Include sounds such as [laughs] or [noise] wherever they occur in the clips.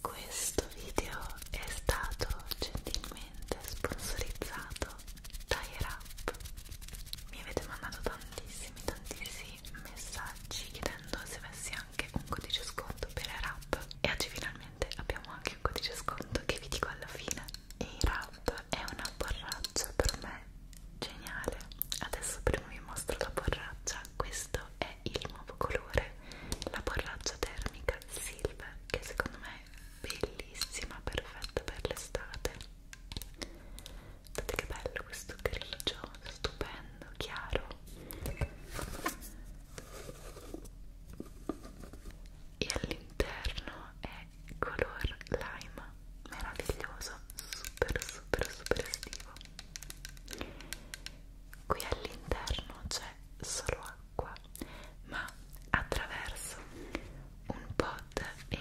Questo video è stato gentilmente sponsorizzato da Irap. Mi avete mandato tantissimi, tantissimi dei messaggi chiedendo se avessi anche un codice sconto per Rap e oggi finalmente abbiamo anche un codice sconto che vi dico alla fine e Rap è una borraccia per me geniale adesso prima vi mostro la borraccia questo è il nuovo colore la borraccia termica silver che secondo me è bellissima perfetta per l'estate Guardate che bello questo grigio, stupendo sentendo chiaro e all'interno è color lime meraviglioso super super super estivo qui all'interno c'è solo acqua ma attraverso un pod e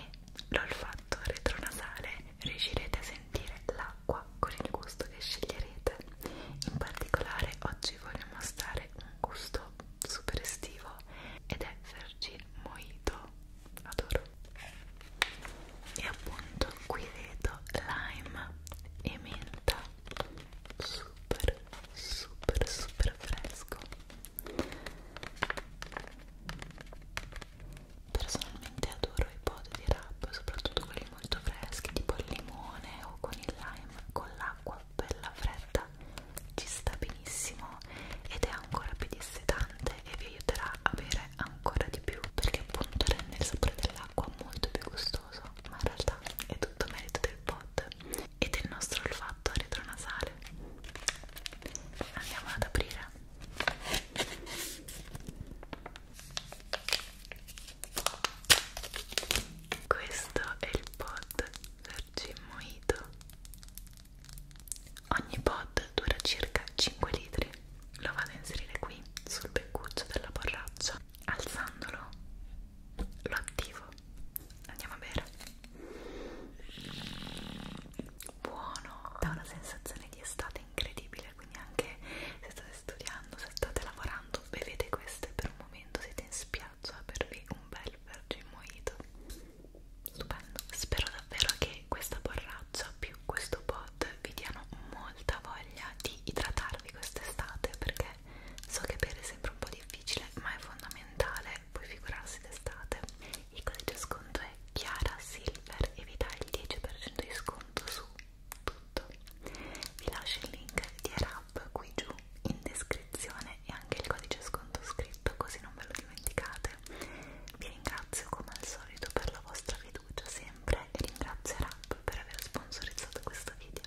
l'olfatto retronasale riuscirete a sentire la d'acqua con il gusto che sceglierete in particolare oggi voglio mostrare un gusto super estivo ed è Vergine Mojito adoro e appunto qui vedo lime e menta super super super fresco Personalmente adoro i pod di rap, soprattutto quelli molto freschi, tipo al limone o con il lime, con l'acqua bella fredda, ci sta benissimo ed è ancora più dissetante e vi aiuterà a bere ancora di più perché appunto rende il sapore dell'acqua molto più gustoso, ma in realtà è tutto merito del pod e del nostro olfatto retronasale. Andiamo ad aprire. Questo è il pod Vergin Mojito. Ogni pod dura circa 5 litri. Lo vado a inserire qui sul beccuccio della borraccia. Alzandolo lo attivo. Andiamo a bere. Buono, dà una sensazione di estate incredibile, quindi anche se state studiando, se state lavorando, bevete queste per un momento, siete in spiaggia, bervi un bel vergine mojito. Stupendo. Spero davvero che questa borraccia più questo pot vi diano molta voglia di idratarvi quest'estate perché so che bere è sempre un po' difficile, ma è fondamentale, poi figurarsi d'estate. Il codice sconto è Chiara Silver e vi dà il 10% di sconto su tutto. Vi lascio il link di Erap qui giù in descrizione e anche il codice sconto scritto così non ve lo dimenticate. Vi ringrazio come al solito per la vostra fiducia sempre e ringrazio Erap per aver sponsorizzato questo video.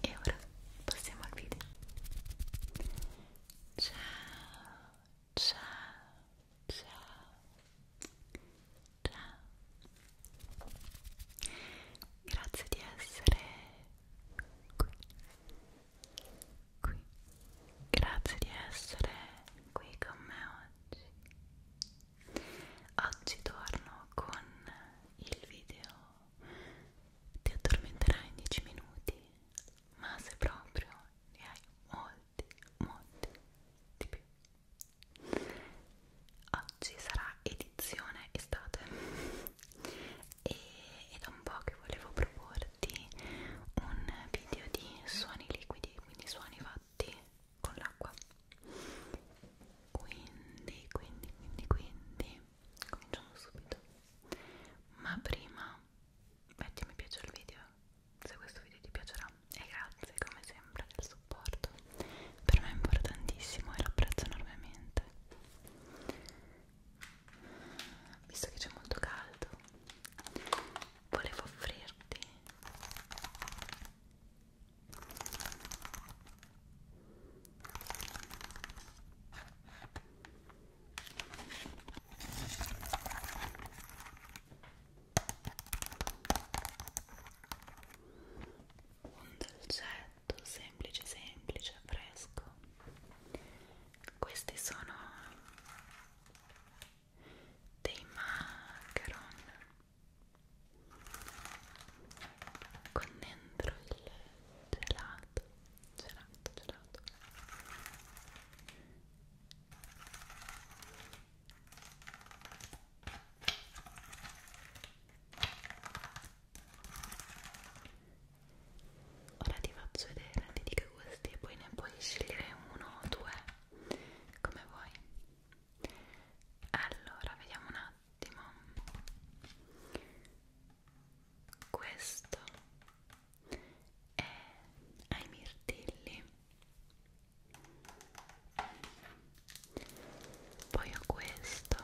E ora passiamo al video. Ciao, ciao ciao ciao grazie di essere qui qui grazie di essere qui con me oggi oggi torno con il video ti addormenterai in 10 minuti ma se proprio ne hai molti molti, molti di più. Oggi sarà edizione estate e è da un po' che volevo proporti un video di suoni liquidi, quindi suoni fatti con l'acqua. Quindi, quindi, quindi, quindi, cominciamo subito. Ma prima metti mi piace al video se questo video ti piacerà e grazie come sempre del supporto per me è importantissimo e l'apprezzo enormemente visto che c'è molto caldo volevo offrirti un dolcetto semplice semplice fresco questi sono dei macaron con dentro il gelato gelato gelato Ora ti faccio vedere, ti dico questi e poi ne puoi scegliere uno o due, come vuoi. Allora, vediamo un attimo. Questo è ai mirtilli poi ho questo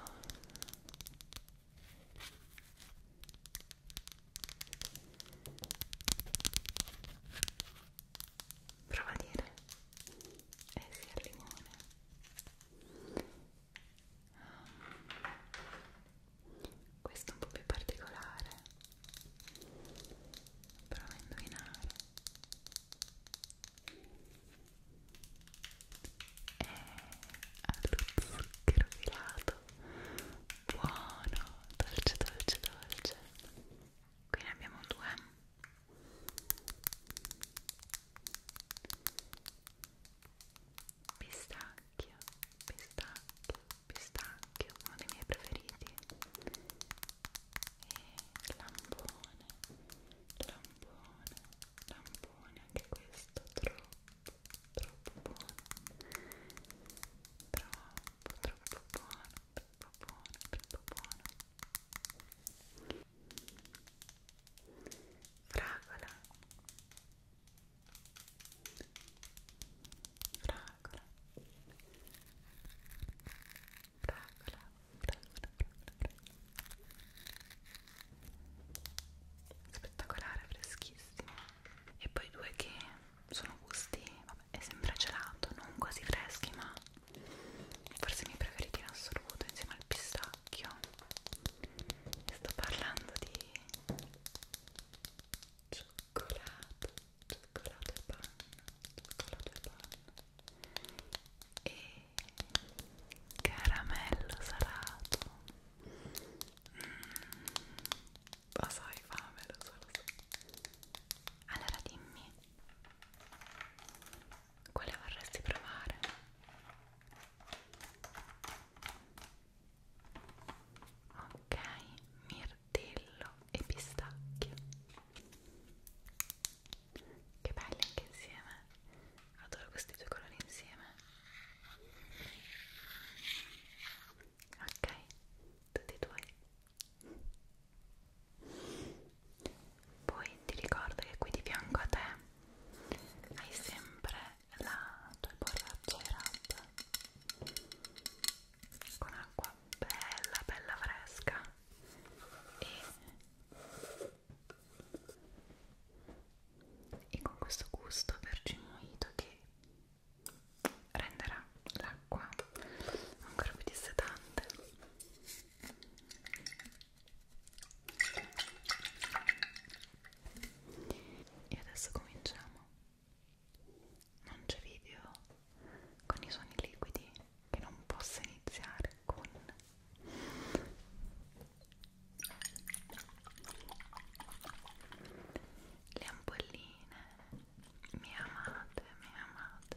prova a dire eh sì al limone questo è un po' più particolare prova a indovinare e allo zucchero filato buono, dolce dolce dolce qui ne abbiamo due pistacchio, pistacchio, pistacchio uno dei miei preferiti lampone, lampone, lampone, anche questo troppo, troppo buono, troppo, troppo buono, troppo buono, troppo buono. Fragola, fragola, fragola fragola fragola fragola spettacolare, freschissimo e poi due che sono gusti, vabbè, è sempre gelato, non quasi freschi ma forse i miei preferiti in assoluto insieme al pistacchio e sto parlando di cioccolato cioccolato e panna cioccolato e panna e caramello salato mm. lo mm. so hai fame lo so lo so allora dimmi quale vorresti provare? ok, mir mirtillo e pistacchio che belli anche insieme adoro questi due colori insieme ok tutti e due poi ti ricordo che qui di fianco a te hai sempre la tua borraccia rap con acqua bella bella fresca e, e con questo gusto vergine mojito che renderà l'acqua ancora più dissetante e adesso cominciamo non c'è video con i suoni liquidi che non possa iniziare con le ampolline mi amate, mi amate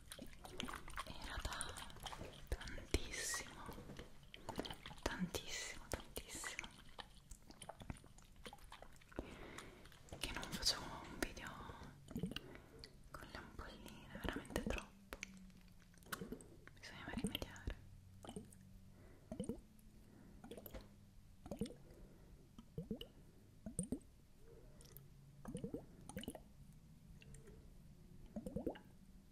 era da tantissimo tantissimo tantissimo che non facevo un video con le ampolline veramente troppo bisogna rimediare Ecco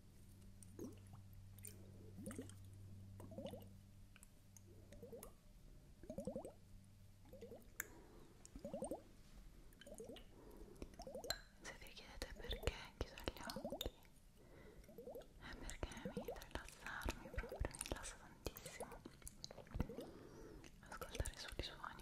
Se vi chiedete perché chiudo gli occhi, è eh, perché mi aiuta a rilassarmi, proprio mi rilassa tantissimo ascoltare solo i suoni.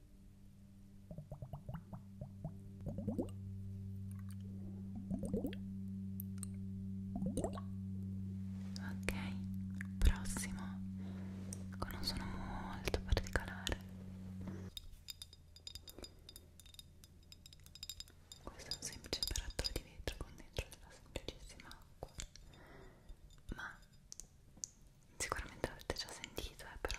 Ok, prossimo con ecco, un suono molto particolare. Questo è un semplice barattolo di vetro con dentro della semplicissima acqua. Ma sicuramente l'avete già sentito, eh, però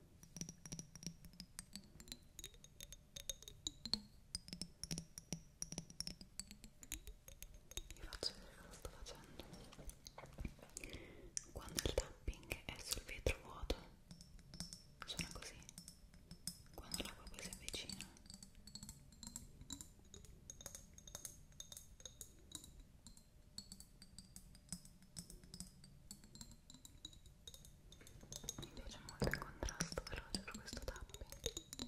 vi faccio vedere cosa sto facendo quando il tapping è sul vetro vuoto suona così quando l'acqua poi si avvicina mi piace molto il contrasto che ho per questo tapping Ecco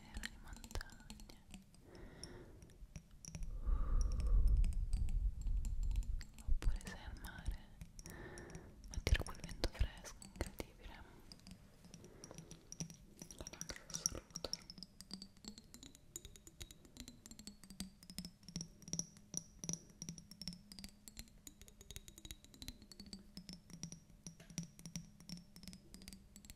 vedere le montagne oppure sei al mare ma tira quel vento fresco incredibile la lacrima assoluta Ecco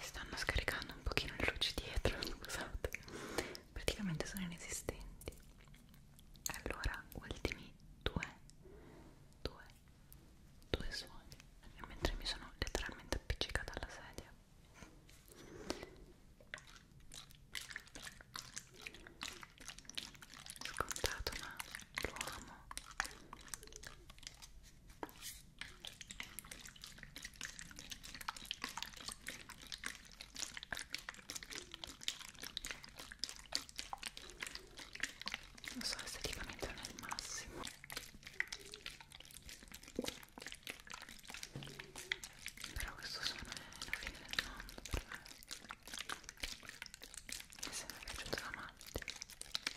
stanno scaricando un pochino le luci dietro [laughs] scusate praticamente sono inesistenti allora ultimi due due due suoni mentre mi sono letteralmente appiccicata alla sedia scontato ma lo amo non so esteticamente non è il massimo però questo suono è la fine del mondo per me mi sembra piaciuta la amante sto cercando anche di parlare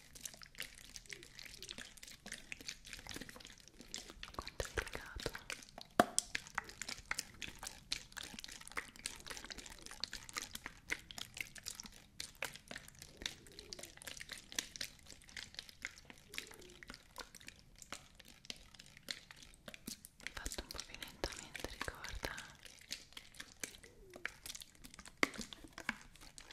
Quanto è peccato fatto un po' più lentamente ricorda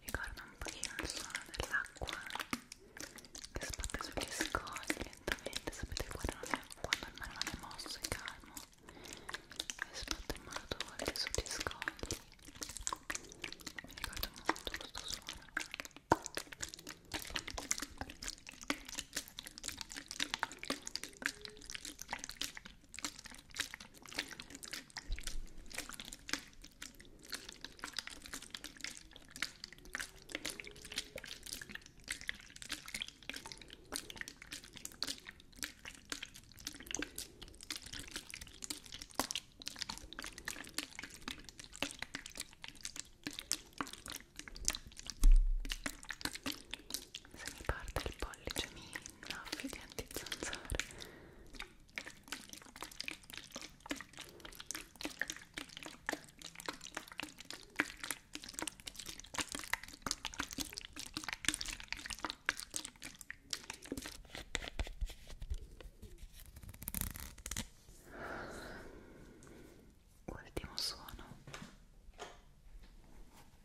ricorda un pochino il suono dell'acqua che sbatte sugli scogli lentamente sapete quando, è, quando il mare non è mosso e calmo e sbatte in modo volte sugli scogli mi ricorda molto questo suono se mi parte il pollice mi Naffi di antizanzare Ultimo suono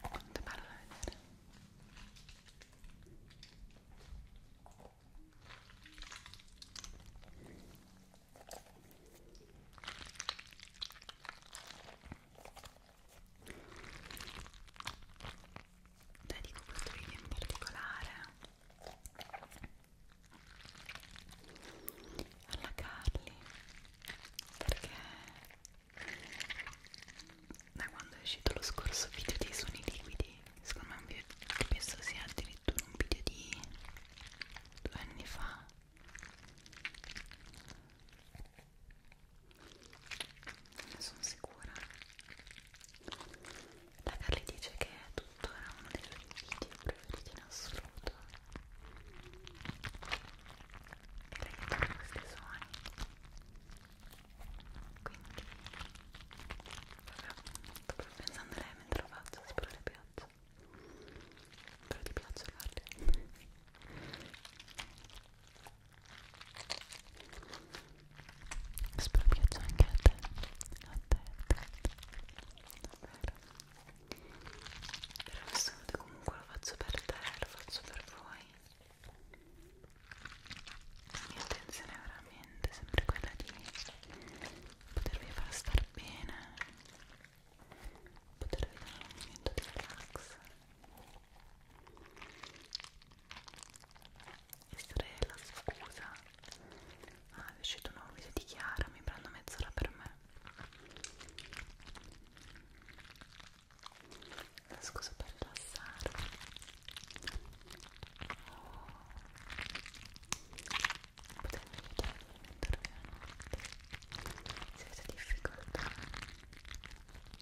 Quante parole da vedere? Dedico questo video in particolare alla Carly perché da quando è uscito lo scorso video dei suoni liquidi secondo me è un video che penso sia addirittura un video di due anni fa ne sono sicura la Carly dice che è tuttora uno dei suoi video preferiti in assoluto e lei fa questi suoni quindi sto proprio pensando a lei mentre lo faccio spero le piaccia spero ti piaccia guarda spero piaccia anche a te a te, a te. davvero però questa volta comunque lo faccio per te, lo faccio per voi la mia intenzione è veramente sempre quella di potervi far star bene potervi dare un momento di relax essere la scusa ah è uscito un nuovo video di Chiara mi prendo mezz'ora per me scusa per passare potete aiutarmi a mettervi a notte se avete difficoltà Ecco,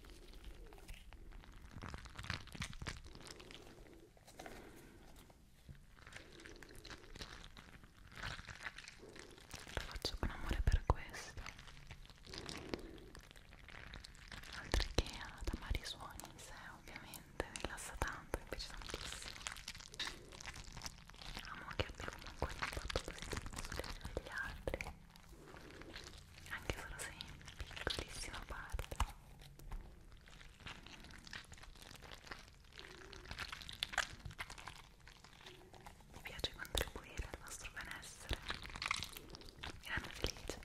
lo faccio con amore per questo oltre che ad amare i suoni in sé ovviamente rilassa tanto, mi piace tantissimo amo che abbia comunque un impatto positivo sulle vite degli altri anche solo se in piccolissima parte mi piace contribuire al vostro benessere. Mi rende felice.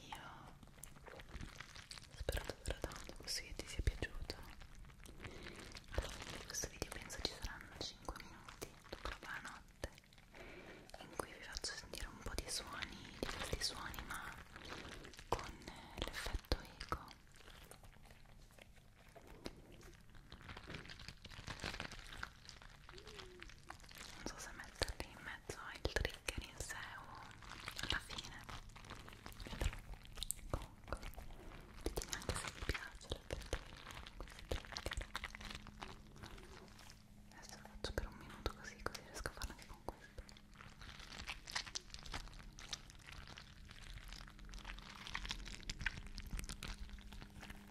Io spero davvero tanto questo video ti sia piaciuto. Alla fine di questo video penso ci saranno 5 minuti dopo la notte in cui vi faccio sentire un po' di suoni, di questi suoni ma con l'effetto eco. Non so se metterli in mezzo mezzo il trigger in sé o alla fine vedrò comunque ditemi anche se vi piace l'effetto adesso lo faccio per un minuto così così riesco a farlo anche con questo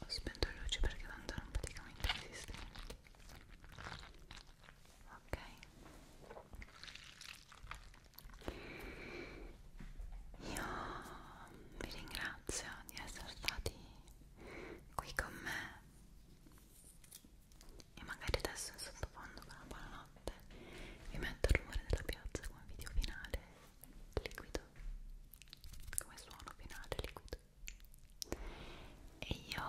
Ho spento le luci perché tanto erano praticamente esistenti. Ok. Io vi ringrazio di essere stati qui con me e magari adesso in sottofondo con la buona notte vi metto il rumore della piazza come video finale liquido come suono finale liquido e io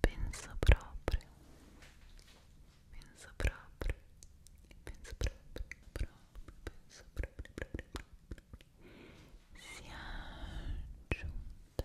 penso proprio penso proprio penso proprio proprio penso proprio proprio, proprio sia giunta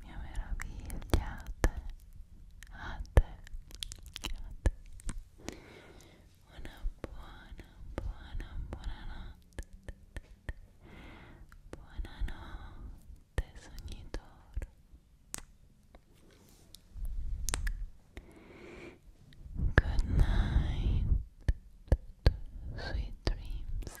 mia meraviglia, a te, a te, a te. Una buona, buona, buona notte. Buonanotte, sognitore. Good night, sweet dreams.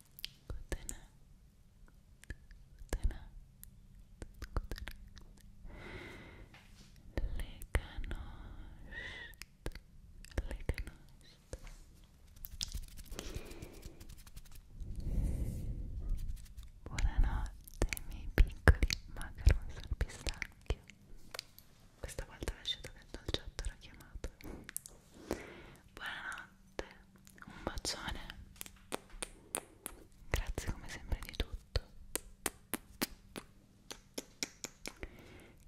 Good night. Good night. Good night. Leganost. Leganost. Buonanotte miei piccoli macarons al pistacchio. Questa volta ho lasciato dentro il chat la chiamata buonanotte un bacione grazie come sempre di tutto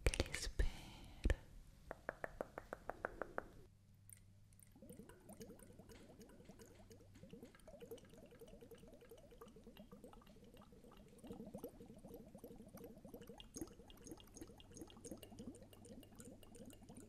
che li spero